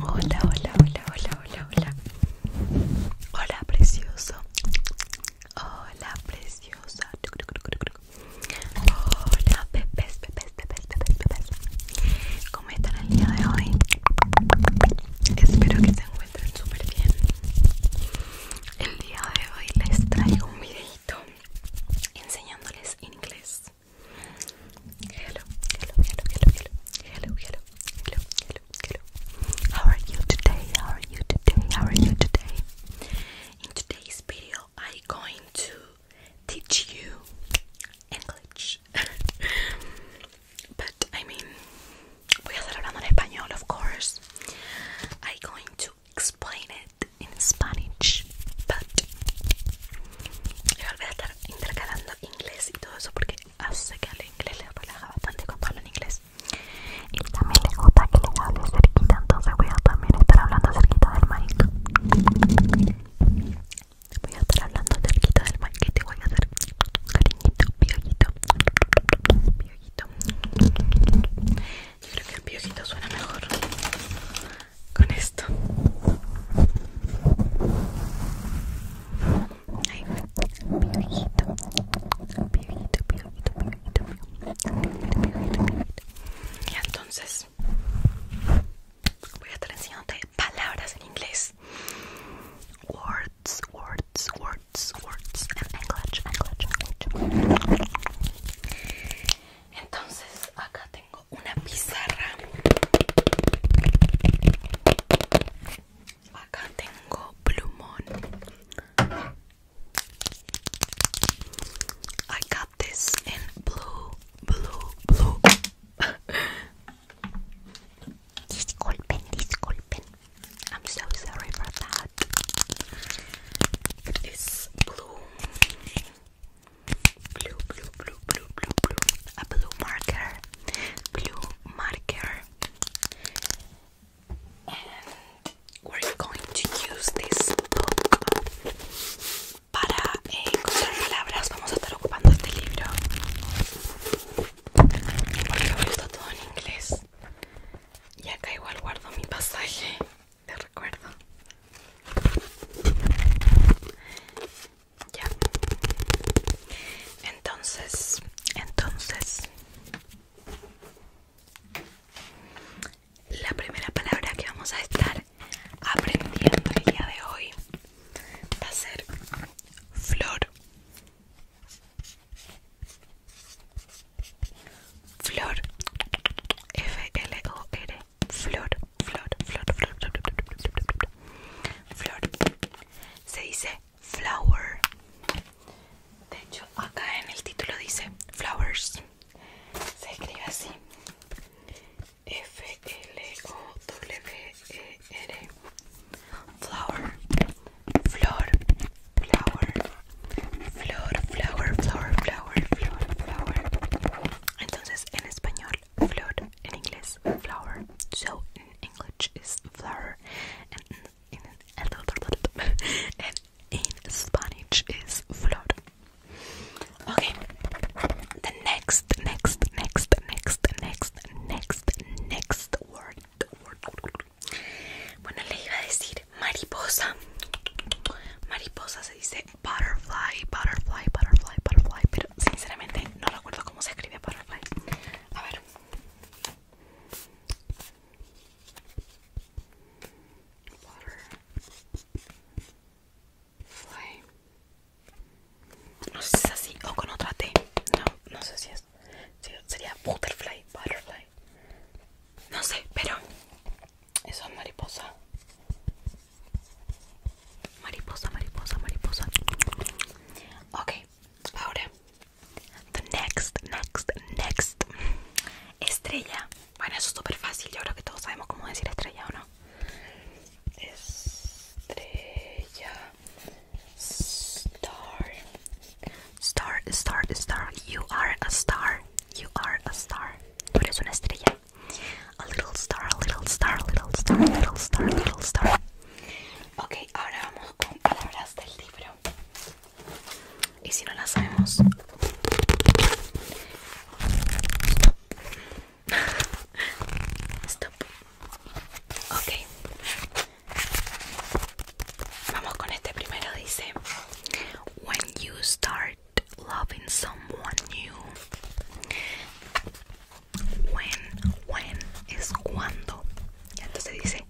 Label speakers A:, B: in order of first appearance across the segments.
A: Hola, hola, hola, hola, hola, hola. Hola, precioso. Hola, preciosa. Hola, pepes, pepes, pepes, pepes, pepes ¿Cómo están el día de hoy? Espero que se encuentren súper bien. El día de hoy les traigo un videito enseñándoles inglés. Hello, hello, hello, hello, hello, hello, hello, hello, hello, How are you today? How are you today? How are you today? In today's video, I'm going to teach you English. but I mean, we voy a estar hablando en español, of course. I'm going to explain it. en in Spanish, yo voy a estar intercalando inglés y todo eso porque hace que al inglés le relaja bastante cuando en inglés y también le gusta que le hable cerquita, entonces voy a también estar hablando cerquita del mic. Voy a estar hablando cerquita del mic y te voy a hacer cariñito, piojito, piojito. Yo creo que el piojito suena mejor con esto. Ay, piojito, piojito, piojito, piojito, piojito, piojito, piojito. Y entonces voy a estar enseñándote palabras en inglés. Words, words, words, words en English, English, English. Entonces acá tengo I got this in blue, blue, blue. disculpen, disculpen. I'm so sorry for that. This blue blue, blue, blue, blue, blue, blue, a blue marker, blue marker, and we're going to use this book para eh, encontrar palabras. Vamos a estar ocupando este libro porque lo gusta todo en inglés. Y acá igual guardo mi pasaje te recuerdo. Ya. Entonces, entonces, la primera palabra que vamos a estar aprendiendo el día de hoy va a ser flor. Flor. F L O R flor, flor, flor, flor, flor, Se dice flower. De hecho, acá en el título dice flowers. Se escribe así. F L O W E R. Flower, flor, flower, flor, flower, flower, flower, flower, flower. Entonces en español flood in English flower. So in English is flower and in, Spanish is flood. Okay. The next next next next next next next word word. Bueno, le iba a decir mariposa. Mariposa se dice Butterfly, Butterfly, Butterfly, Butterfly Pero sinceramente no recuerdo cómo se escribe Butterfly A ver Butterfly No sé si es así o con otra T No, no sé si es Sería Butterfly, Butterfly No sé, pero eso es mariposa. Mariposa, mariposa, mariposa. Ok, ahora. The next, next, next. Estrella. Bueno, eso es súper fácil. Yo creo que todos sabemos cómo decir estrella o no. Estrella. Star. Star, star, star. You are a star. You are a star. Tú eres una estrella. A little star, a little star, little star, little star, little star. Ok, ahora vamos con palabras del libro. Y si no las sabemos... Stop. Ok. Vamos con este primero. Dice: When you start loving someone new. When, when cuando. Entonces dice,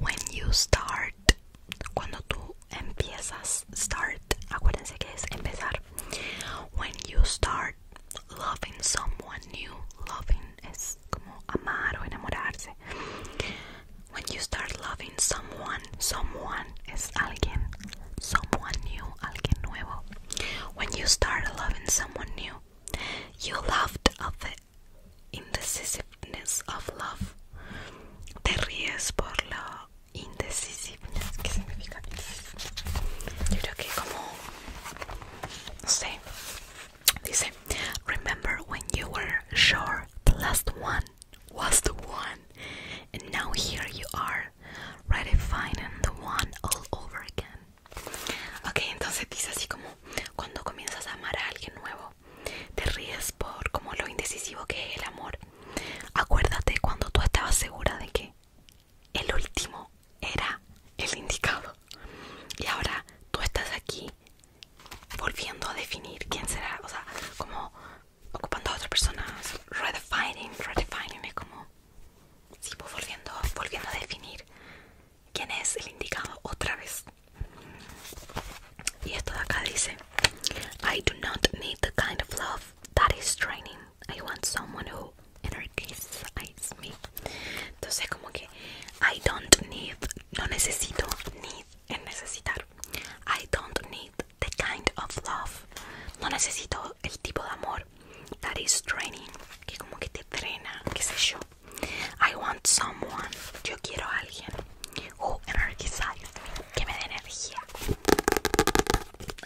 A: when you start, cuando tú empiezas, start. Acuérdense que es empezar. When you start loving someone new, loving es como amar o enamorarse. When you start loving someone, someone es alguien, someone new. When you start loving someone new, you loved of the indecisiveness of love. Te ríes por la indecisiveness. ¿Qué significa? Yo creo que como no sé. Dice, remember when you were sure the last one was the one, and now here you are redefining the one all over again. Ok, entonces dice así como cuando comienzas a amar a alguien nuevo, te ríes por como lo indecisivo que es el amor. Acuérdate cuando tú estabas segura de que el último era el indicado. Y ahora tú estás aquí volviendo a definir quién será, o sea, como ocupando a otra persona, redefining, redefining es como sigo pues volviendo, volviendo a definir quién es el indicado otra vez. Y esto de acá dice: I do not need the kind of love that is draining. I want someone who energizes me. Entonces, como que I don't need, no necesito, need en necesitar. I don't need the kind of love. No necesito el tipo de amor That is training. Que como que te trena, qué sé yo. I want someone. Yo quiero alguien. Who energizes Que me dé energía.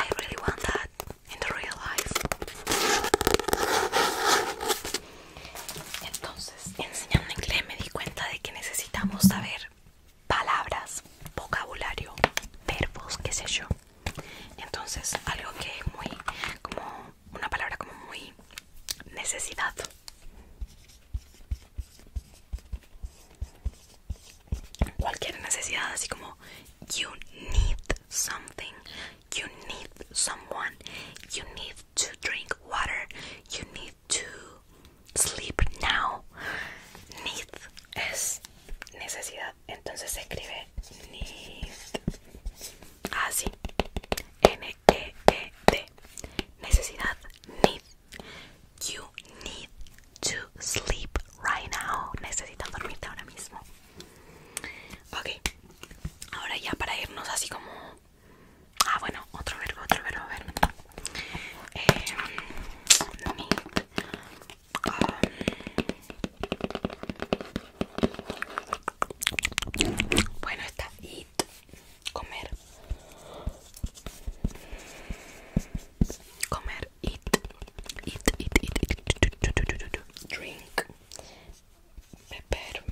A: I really want that in the real life. Entonces, enseñando inglés me di cuenta de que necesitamos saber palabras, vocabulario, verbos, qué sé yo. Entonces, algo que es muy, como una palabra como muy necesidad. Cualquier necesidad, así como you need something, you need someone, you need to drink water, you need to sleep now. Need es necesidad. Entonces se escribe need. Así. Ah, N-E-E-D. Necesidad. Need. You need to sleep right now. Necesitas dormirte ahora mismo. Ok. Ahora ya para irnos así como... Ah, bueno, otro verbo, otro verbo, a ver. Em, bueno, está eat comer. Comer eat Eat, eat, eat Drink. Beber.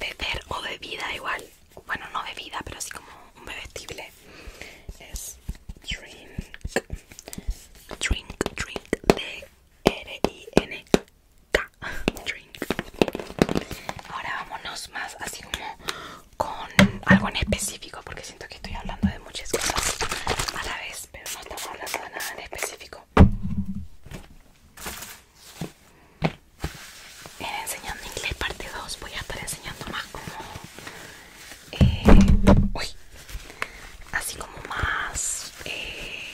A: Beber o bebida igual. Bueno, no bebida, pero así como un bebestible. Es drink. Drink, drink, D-R-I-N-K. Drink. Ahora vámonos más así como con algo en específico, porque siento que estoy hablando de muchas cosas a la vez, pero no estamos hablando de nada en específico. En Enseñando Inglés Parte 2 voy a estar enseñando más como eh, así como más eh,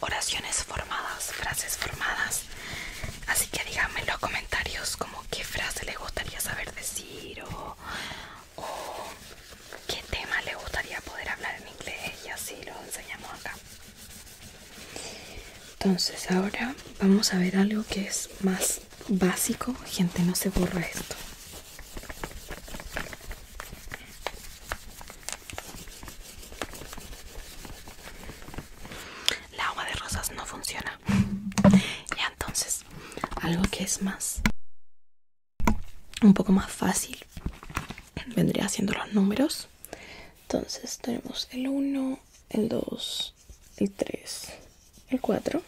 A: oraciones formadas, frases formadas. Así que díganme en los comentarios como qué frase le gustaría saber decir o, qué tema le gustaría poder hablar en inglés y así lo enseñamos acá. Entonces ahora vamos a ver algo que es más básico. Gente, no se borra esto. La agua de rosas no funciona. y entonces, algo que es más un poco más fácil vendría siendo los números. Entonces tenemos el 1, el 2, el 3, el 4.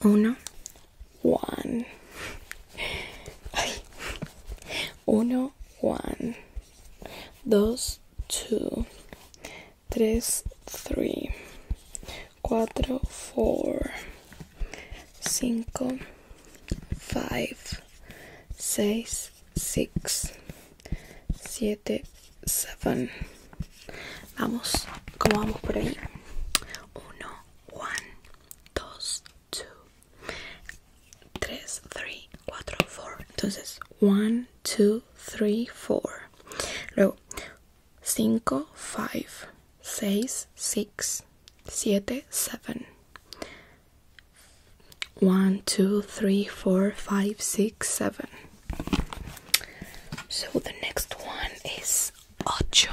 A: 1, 1 1, 1 2, 2 3, 3 4, 4 5, 5 6, 6 7, 7 Vamos, ¿cómo vamos por ahí? Uno, one, dos, two, tres, three, cuatro, four. Entonces, one, two, three, four. Luego, cinco, five, seis, six, siete, seven. One, two, three, four, five, six, seven. So the next one is ocho.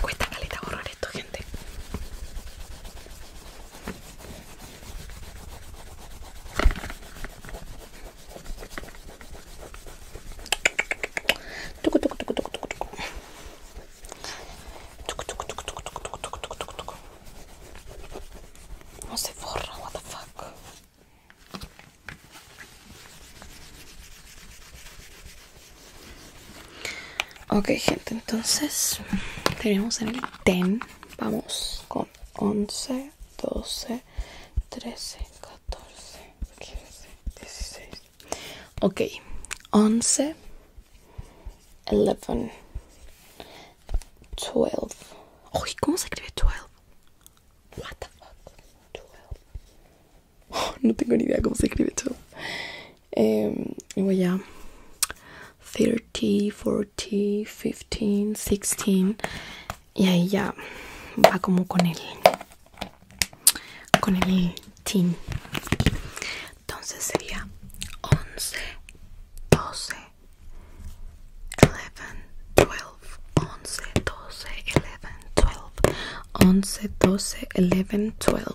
A: cuesta caleta borrar esto, gente. No se borra, what the fuck. Ok, gente, entonces tenemos en el 10. Vamos con 11, 12, 13, 14, 15, 16. Ok, 11, 11, 12. Uy, ¿cómo se escribe 12? What 12. no tengo ni idea cómo se escribe todo em, y voy a 30, 40, 15, 16. Y ahí ya va como con el. con el teen. Entonces sería 11, 12, 11, 12, 11, 12, 11, 12, 11, 12, 11, 12.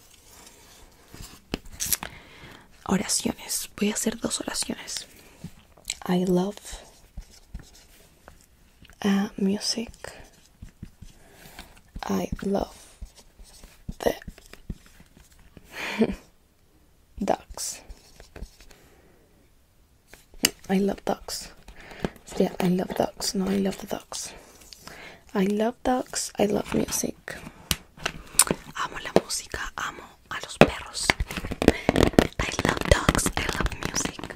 A: Oraciones. Voy a hacer dos oraciones. I love uh, music. I love the ducks. I love ducks. Yeah, I love ducks, no I love the ducks. I love dogs, I love music. Amo la música, amo a los perros. I love dogs, I love music.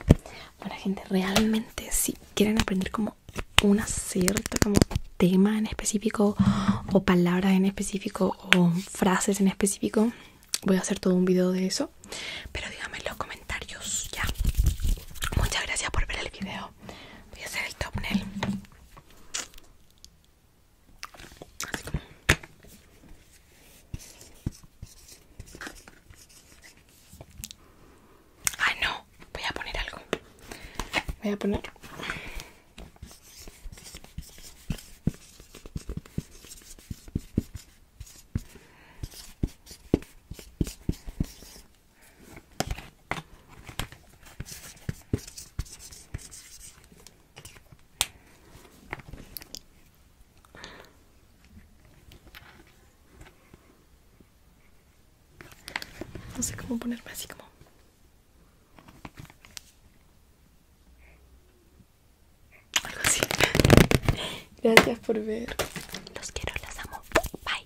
A: Ahora gente, realmente si quieren aprender como una cierta como tema en específico o palabra en específico o frases en específico, voy a hacer todo un video de eso. Pero díganme en los comentarios ya. Muchas gracias por ver el video voy a hacer el topnel ah no voy a poner algo voy a poner no sé cómo ponerme así como... Algo así. Gracias por ver. Los quiero, las amo. Bye.